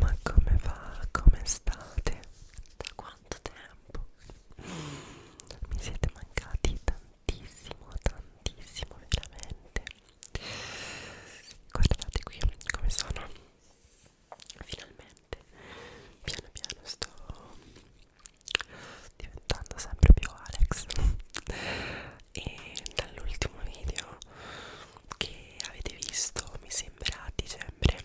Ma come va? Come state? Da quanto tempo? Mi siete mancati tantissimo, tantissimo veramente. Guardate qui come sono. Finalmente, piano piano sto diventando sempre più Alex. E dall'ultimo video che avete visto mi sembra a dicembre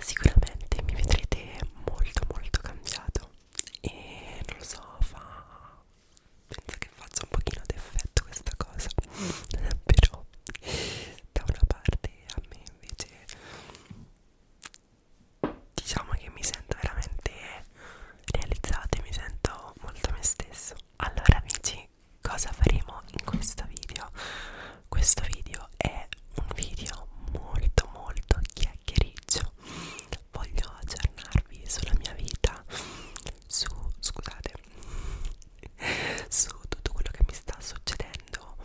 sicuramente mi vedrete molto molto cambiato e non lo so fa penso che faccia un pochino d'effetto questa cosa però da una parte a me invece diciamo che mi sento veramente realizzata e mi sento molto me stesso allora amici cosa faremo in questo video questo video è un video molto molto chiacchiericcio voglio aggiornarvi sulla mia vita su scusate su tutto quello che mi sta succedendo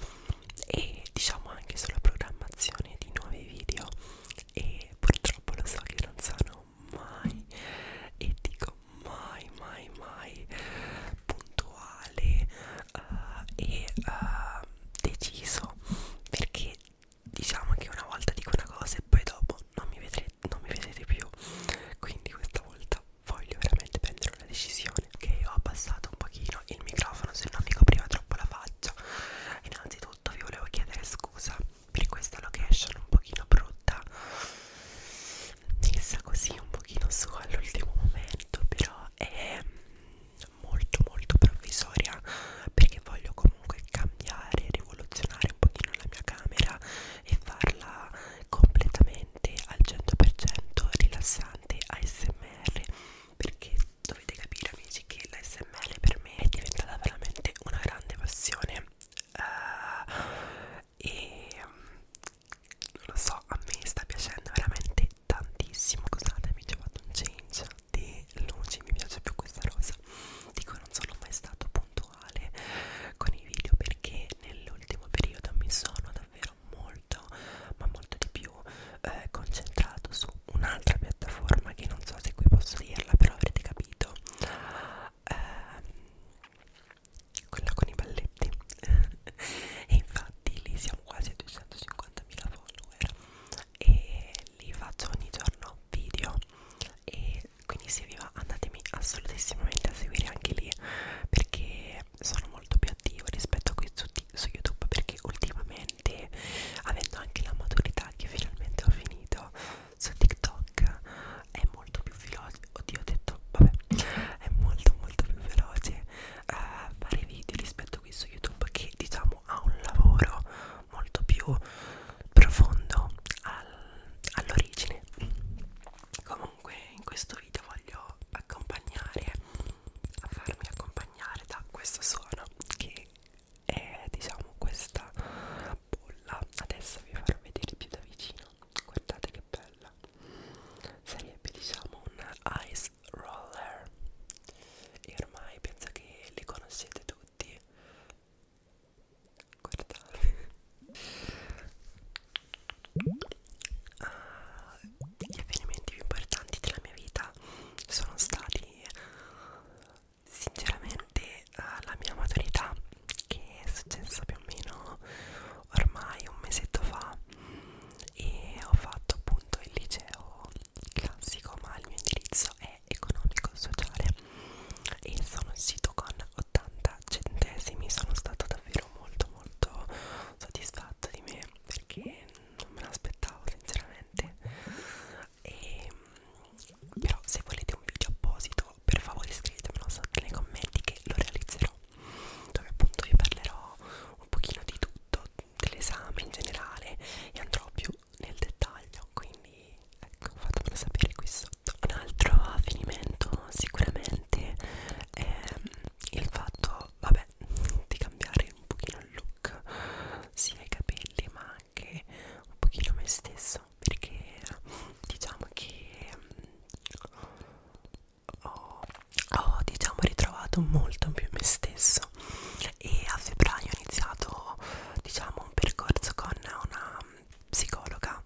e diciamo anche sulla programmazione di nuovi video e purtroppo lo so che non sono mai e dico mai mai mai puntuale uh, e uh, deciso perché diciamo che una volta dico una cosa e poi dopo non mi, vedrete, non mi vedrete più quindi questa volta voglio veramente prendere una decisione ok ho abbassato un pochino il microfono se non mi copriva troppo la faccia innanzitutto vi volevo chiedere scusa per questa location un pochino brutta messa così un pochino su all'ultimo momento però è molto molto provvisoria perché voglio comunque cambiare rivoluzionare un pochino la mia camera e farla completamente al 100% rilassante ASMR perché dovete capire amici che l'ASMR per me è diventata veramente una grande passione uh, e non lo so, a me sta piacendo veramente tantissimo. Scusate, mi ho fatto un change di luci, mi piace più questa rosa. Dico, non sono mai stato puntuale con i video perché nell'ultimo periodo mi sono davvero molto, ma molto di più eh, concentrato su un'altra piattaforma che non so se qui posso dirla, però avrete capito eh, quella con i balletti e infatti lì siamo quasi a 250.000 follower e li faccio ogni giorno video e quindi se vi va andatemi assolutissimamente a seguire anche lì perché sono molto più attivo rispetto a qui su, su youtube perché ultimamente avendo anche la maturità che finalmente ho finito su tiktok è molto più veloce oddio ho detto vabbè è molto molto più veloce uh, fare video rispetto a qui su youtube che diciamo ha un lavoro molto più profondo al, all'origine comunque in questo video voglio accompagnare a farmi accompagnare da questo suono che è diciamo questa bolla adesso vi farò vedere più da vicino guardate che bella sarebbe diciamo un ice roller e ormai penso che li conoscete tutti guardate uh, gli avvenimenti più importanti della mia vita sono stati sinceramente uh, la mia maturità che è successa più o meno ormai un mesetto fa e ho fatto appunto il liceo classico ma il mio indirizzo è economico sociale e sono uscito con 80 centesimi sono stato davvero molto molto soddisfatto di me perché non me l'aspettavo sinceramente e però se volete un video apposito per favore scrivetemelo sotto nei commenti che lo realizzerò Pro dove appunto vi parlerò un pochino di tutto, dell'esame in generale e andrò più nel dettaglio, quindi ecco fatemelo sapere qui sotto. Un altro avvenimento sicuramente è ehm, il fatto, vabbè, di cambiare un pochino il look, sia i capelli ma anche un pochino me stesso, perché diciamo che ehm, ho, ho diciamo ritrovato molto più me stesso e a febbraio ho iniziato diciamo un percorso con una psicologa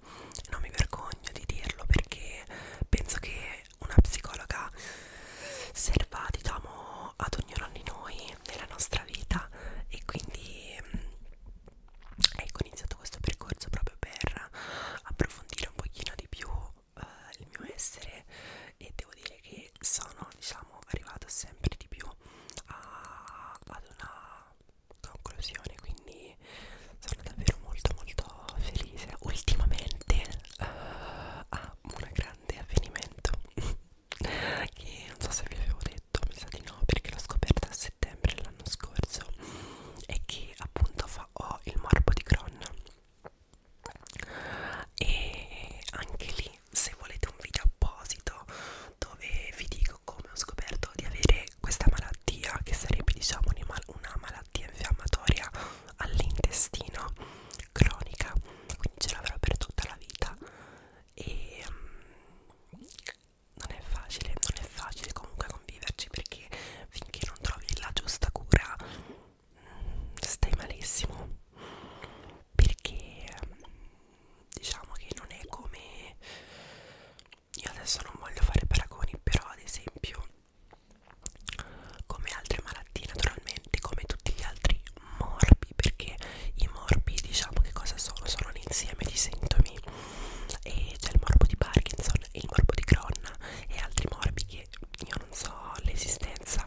non mi vergogno di dirlo perché penso che una psicologa serva diciamo ad ognuno di noi nella nostra vita e quindi ecco ho iniziato questo percorso proprio per approfondire un pochino di più eh, il mio essere e devo dire che sono diciamo arrivato sempre di più a, ad una conclusione quindi sono davvero molto molto felice ultimamente eh, a ah, un grande avvenimento che non so se vi avevo detto mi sa di no perché l'ho scoperta a settembre l'anno scorso è che appunto fa, ho il morbo di Crohn nonna e anche lì se volete un video apposito dove vi dico come ho scoperto di avere questa malattia che sarebbe diciamo una malattia infiammatoria all'intestino cronica quindi ce l'avrò per tutta la vita e um, non è facile non è facile comunque conviverci perché perché finché non trovi la giusta cura stai malissimo perché diciamo che non è come io adesso non voglio fare paragoni però ad esempio come altre malattie naturalmente come tutti gli altri morbi perché i morbi diciamo che cosa sono sono un insieme di sintomi e c'è il morbo di Parkinson il morbo di Cron e altri morbi che io non so l'esistenza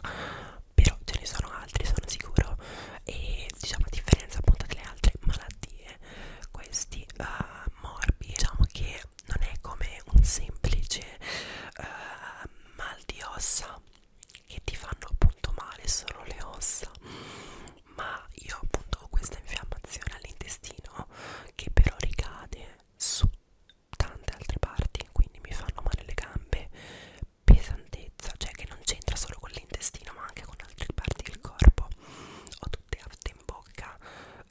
però ce ne sono altri sono sicuro e diciamo a differenza appunto delle altre malattie questi uh, morbi diciamo che non è come un semplice uh, mal di ossa che ti fanno appunto male solo le ossa ma io appunto ho questa infiammazione all'intestino che però ricade su tante altre parti quindi mi fanno male le gambe pesantezza cioè che non c'entra solo con l'intestino ma anche con altre parti del corpo ho tutte afte in bocca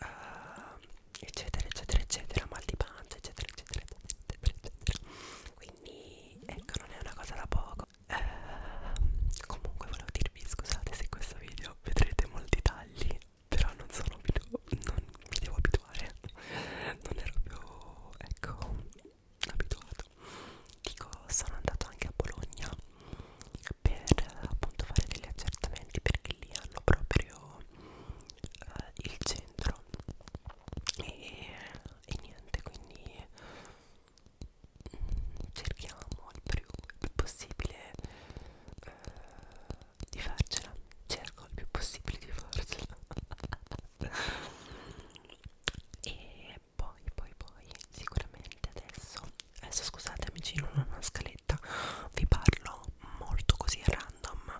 uh, eccetera eccetera eccetera mal di pancia eccetera eccetera eccetera, eccetera. quindi ecco non è una cosa da poco uh, comunque volevo dirvi scusate se questo video vedrete molti tagli però non sono non mi devo abituare non ero più ecco abituato dico sono andato anche a Bologna per appunto fare degli accertamenti perché lì hanno proprio eh, il centro e, e niente quindi mm, cerchiamo il più, il più possibile eh, di farcela cerco il più possibile di farcela e poi poi poi sicuramente adesso adesso scusate amici non ho una scaletta vi parlo molto così a random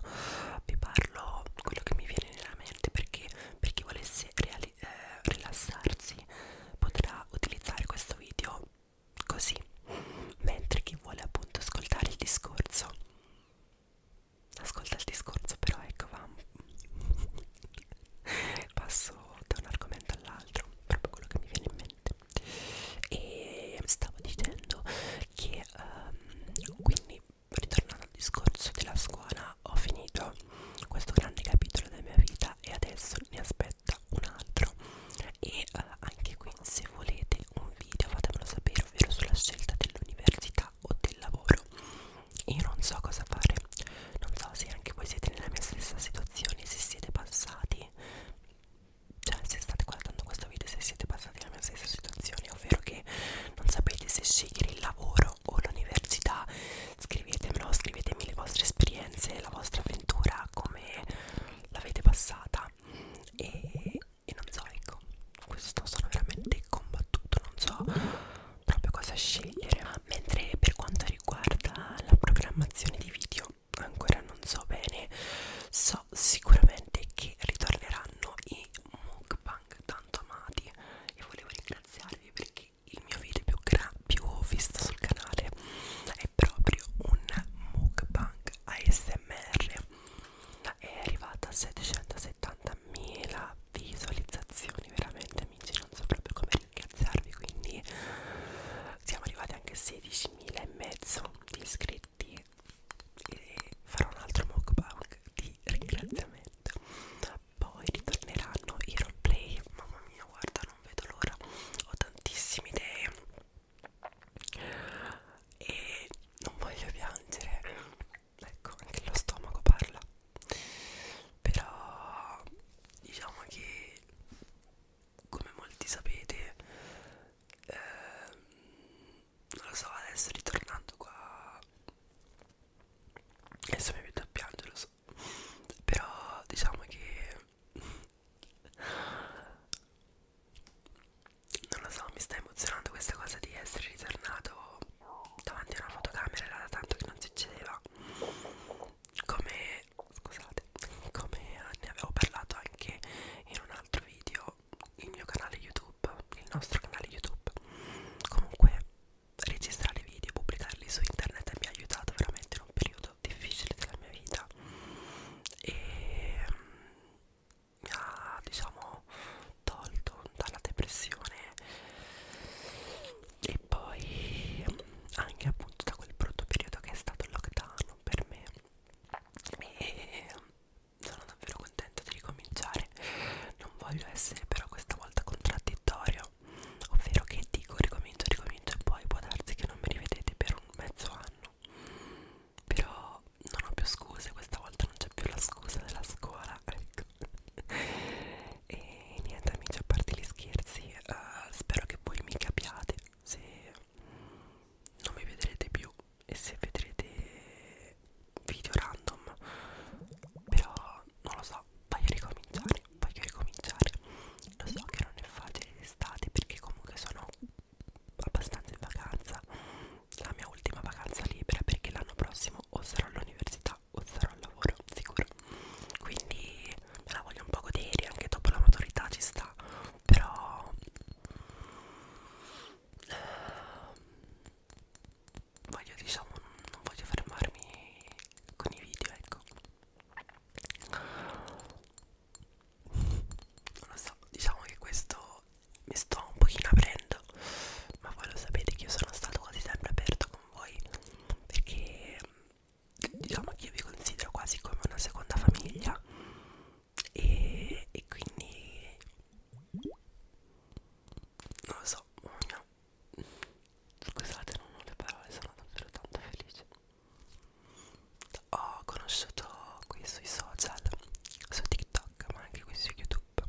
vi parlo quello che mi viene nella mente perché per chi volesse eh, rilassarsi potrà utilizzare questo video così mentre chi vuole appunto ascoltare il discorso ascolta il discorso però ecco va passo da un argomento all'altro proprio quello che mi viene in mente e stavo dicendo che um, quindi ritornando al discorso della scuola ho finito questo grande capitolo della mia vita e adesso mi aspetta un altro e uh, anche qui se volete un video fatemelo sapere ovvero sulla scelta dell'università o del lavoro io non so cosa fare non so se anche voi siete nella mia stessa situazione se siete passati cioè se state guardando questo video se siete passati nella mia stessa situazione ovvero che non sapete se scegliere il lavoro o l'università scrivetemelo scrivetemi le vostre esperienze la vostra avventura come l'avete passata e in mosaico questo sono veramente combattuto non so proprio cosa scegliere mentre per quanto riguarda la programmazione di video ancora non so bene so sicuramente che ritorneranno i mukbang tanto amati e volevo ringraziarvi perché il mio video più, più visto sul canale è proprio un mukbang ASMR è arrivata a 770.000 visualizzazioni veramente amici non so proprio come ringraziarvi quindi siamo arrivati anche a 16.000 e mezzo di iscritti e farò un altro mukbang di ringraziamento poi ritorneranno i roleplay mamma mia guarda non vedo l'ora ho tantissime idee e non voglio piangere ecco anche lo stomaco parla però diciamo che come molti sapete eh, non lo so adesso ritornando qua adesso mi vedo a piangere lo so però diciamo che non lo so, mi sta emozionando questa cosa di essere ritornato davanti a una fotocamera era da tanto che non succedeva come scusate come ne avevo parlato anche in un altro video il mio canale youtube il nostro canale youtube comunque registrare video e pubblicarli su internet mi ha aiutato veramente in un periodo difficile della mia vita e mi ha diciamo tolto dalla depressione e poi anche appunto da quel brutto periodo che è stato il lockdown per me e sono davvero contenta di ricominciare non voglio essere però questa volta contraddittorio ovvero che dico ricomincio ricomincio e poi può darsi che non mi rivedete per un mezzo anno però non ho più scuse, questa volta non c'è più la scusa della scuola, ecco. e niente amici, a parte gli scherzi, uh, spero che voi mi capiate se non mi vedrete più e se vedrete video random. Però non lo so, voglio ricominciare, voglio ricominciare. Lo so che non è facile d'estate perché comunque sono abbastanza in vacanza la mia ultima vacanza libera perché l'anno prossimo o sarò all'università o sarò al lavoro sicuro quindi me la voglio un po' godere anche dopo la maturità ci sta però ehm, voglio diciamo non voglio fermarmi con i video ecco non lo so diciamo che questo mi sto un pochino aprendo ma voi lo sapete che io sono stato quasi sempre aperto con voi perché diciamo che io vi considero quasi come una seconda famiglia e, e quindi non lo so oh no. scusate non ho le parole sono davvero tanto felice ho conosciuto qui sui social su TikTok ma anche qui su YouTube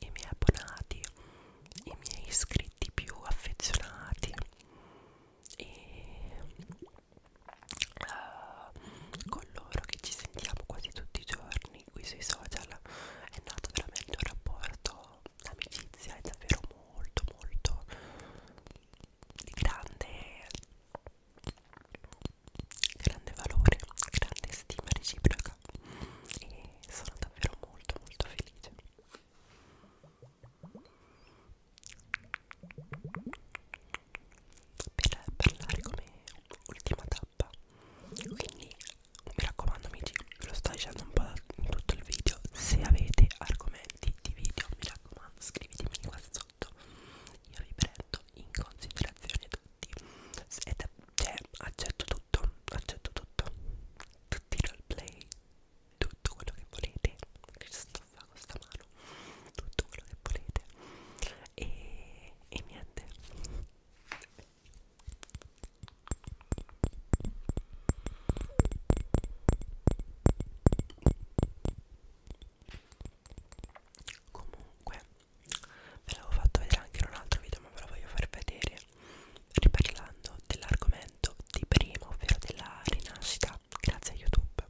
i miei abbonati i miei iscritti più affezionati e uh, con loro che ci sentiamo quasi tutti i giorni qui sui social è nato veramente un rapporto l'amicizia è davvero molto molto di grande grande valore, grande stima reciproca e sono davvero molto molto felice per parlare come ultima tappa quindi mi raccomando amici ve lo sto dicendo un po' in tutto il video se avete argomenti di video mi raccomando scrivetemi qua sotto io vi prendo in considerazione tutti tutti è da, cioè accetto tutto accetto tutto tutti i roleplay tutto quello che volete che sto fa con sta mano tutto quello che volete e, e niente comunque ve l'avevo fatto vedere anche in un altro video ma ve lo voglio far vedere riparlando dell'argomento di prima ovvero della rinascita grazie a youtube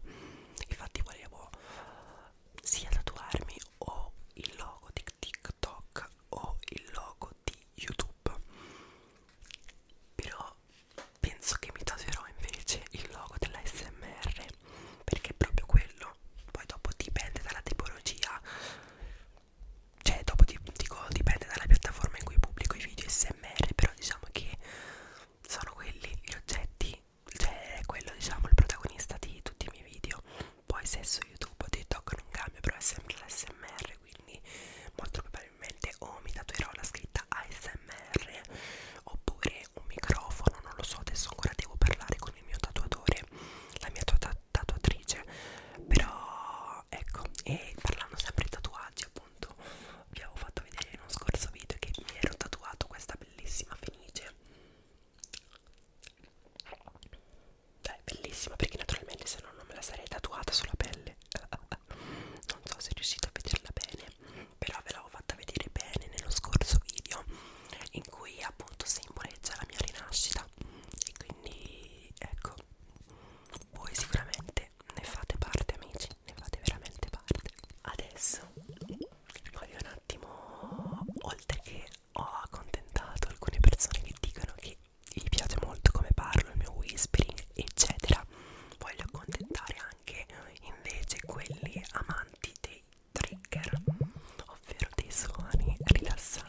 infatti volevo sia tatuarmi o il logo di tiktok o il logo di youtube però penso che mi tatuerò invece il logo della smr perché è proprio quello poi dopo dipende dalla tipologia cioè dopo dico dipende dalla piattaforma in cui pubblico i video smr però diciamo che sono quelli gli oggetti cioè è quello diciamo il protagonista di tutti i miei video poi se su youtube o tiktok non cambia però è sempre l'smr quindi molto probabilmente o mi tatuerò la scritta ASMR oppure anche un microfono, non lo so, adesso ancora devo parlare con il mio tatuatore, la mia tatuatrice, però ecco, e parlando sempre di tatuaggi appunto, vi avevo fatto vedere in uno scorso video che mi ero tatuato questa bellissima fenice. È bellissima perché naturalmente se no non me la sarei tatuata sulla pelle non so se riuscite a vederla bene però ve l'avevo fatta vedere bene nello scorso video in cui appunto simboleggia la mia rinascita e quindi ecco voi sicuramente ne fate parte amici ne fate veramente parte adesso voglio un attimo oltre che ho accontentato alcune persone che dicono che vi piace molto come parlo il mio whispering eccetera voglio accontentare anche invece quelli amanti dei trigger, ovvero dei suoni rilassanti.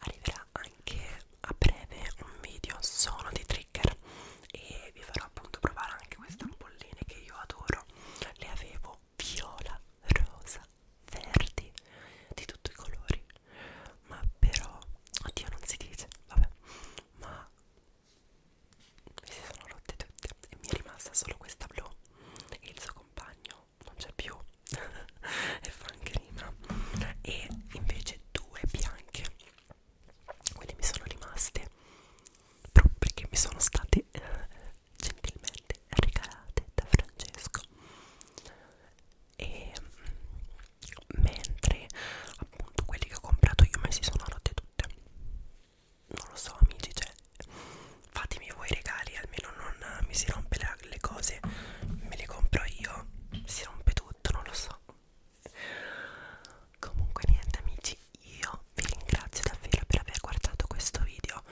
arriverà anche a breve un video solo dei trigger e vi farò appunto provare anche queste ampolline che io adoro le avevo viola, rosa, verdi di tutti i colori ma però, oddio non si dice, vabbè ma mi si sono rotte tutte e mi è rimasta solo questa blu e il suo compagno non c'è più e Frank Rima e invece due bianche quelle mi sono rimaste proprio perché mi sono state eh, gentilmente regalate da Francesco e mm, mentre appunto quelli che ho comprato io me si sono rotte tutte non lo so amici cioè fatemi voi i regali almeno non mi si rompe la le cose me le compro io si rompe tutto non lo so comunque niente amici io vi ringrazio davvero per aver guardato questo video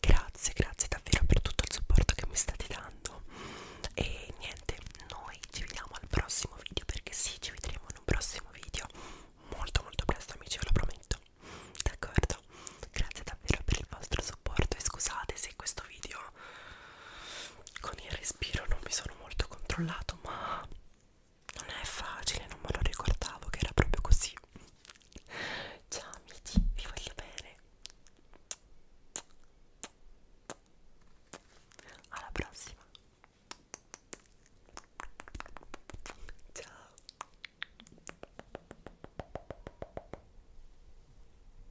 grazie grazie davvero per tutto il supporto che mi state dando e niente noi ci vediamo al prossimo video perché sì ci vedremo in un prossimo video molto molto presto amici ve lo prometto d'accordo grazie davvero per il vostro supporto e scusate se questo video con il respiro non mi sono molto controllato ma non è facile non me lo ricordavo che era proprio così ciao amici vi voglio bene alla prossima ciao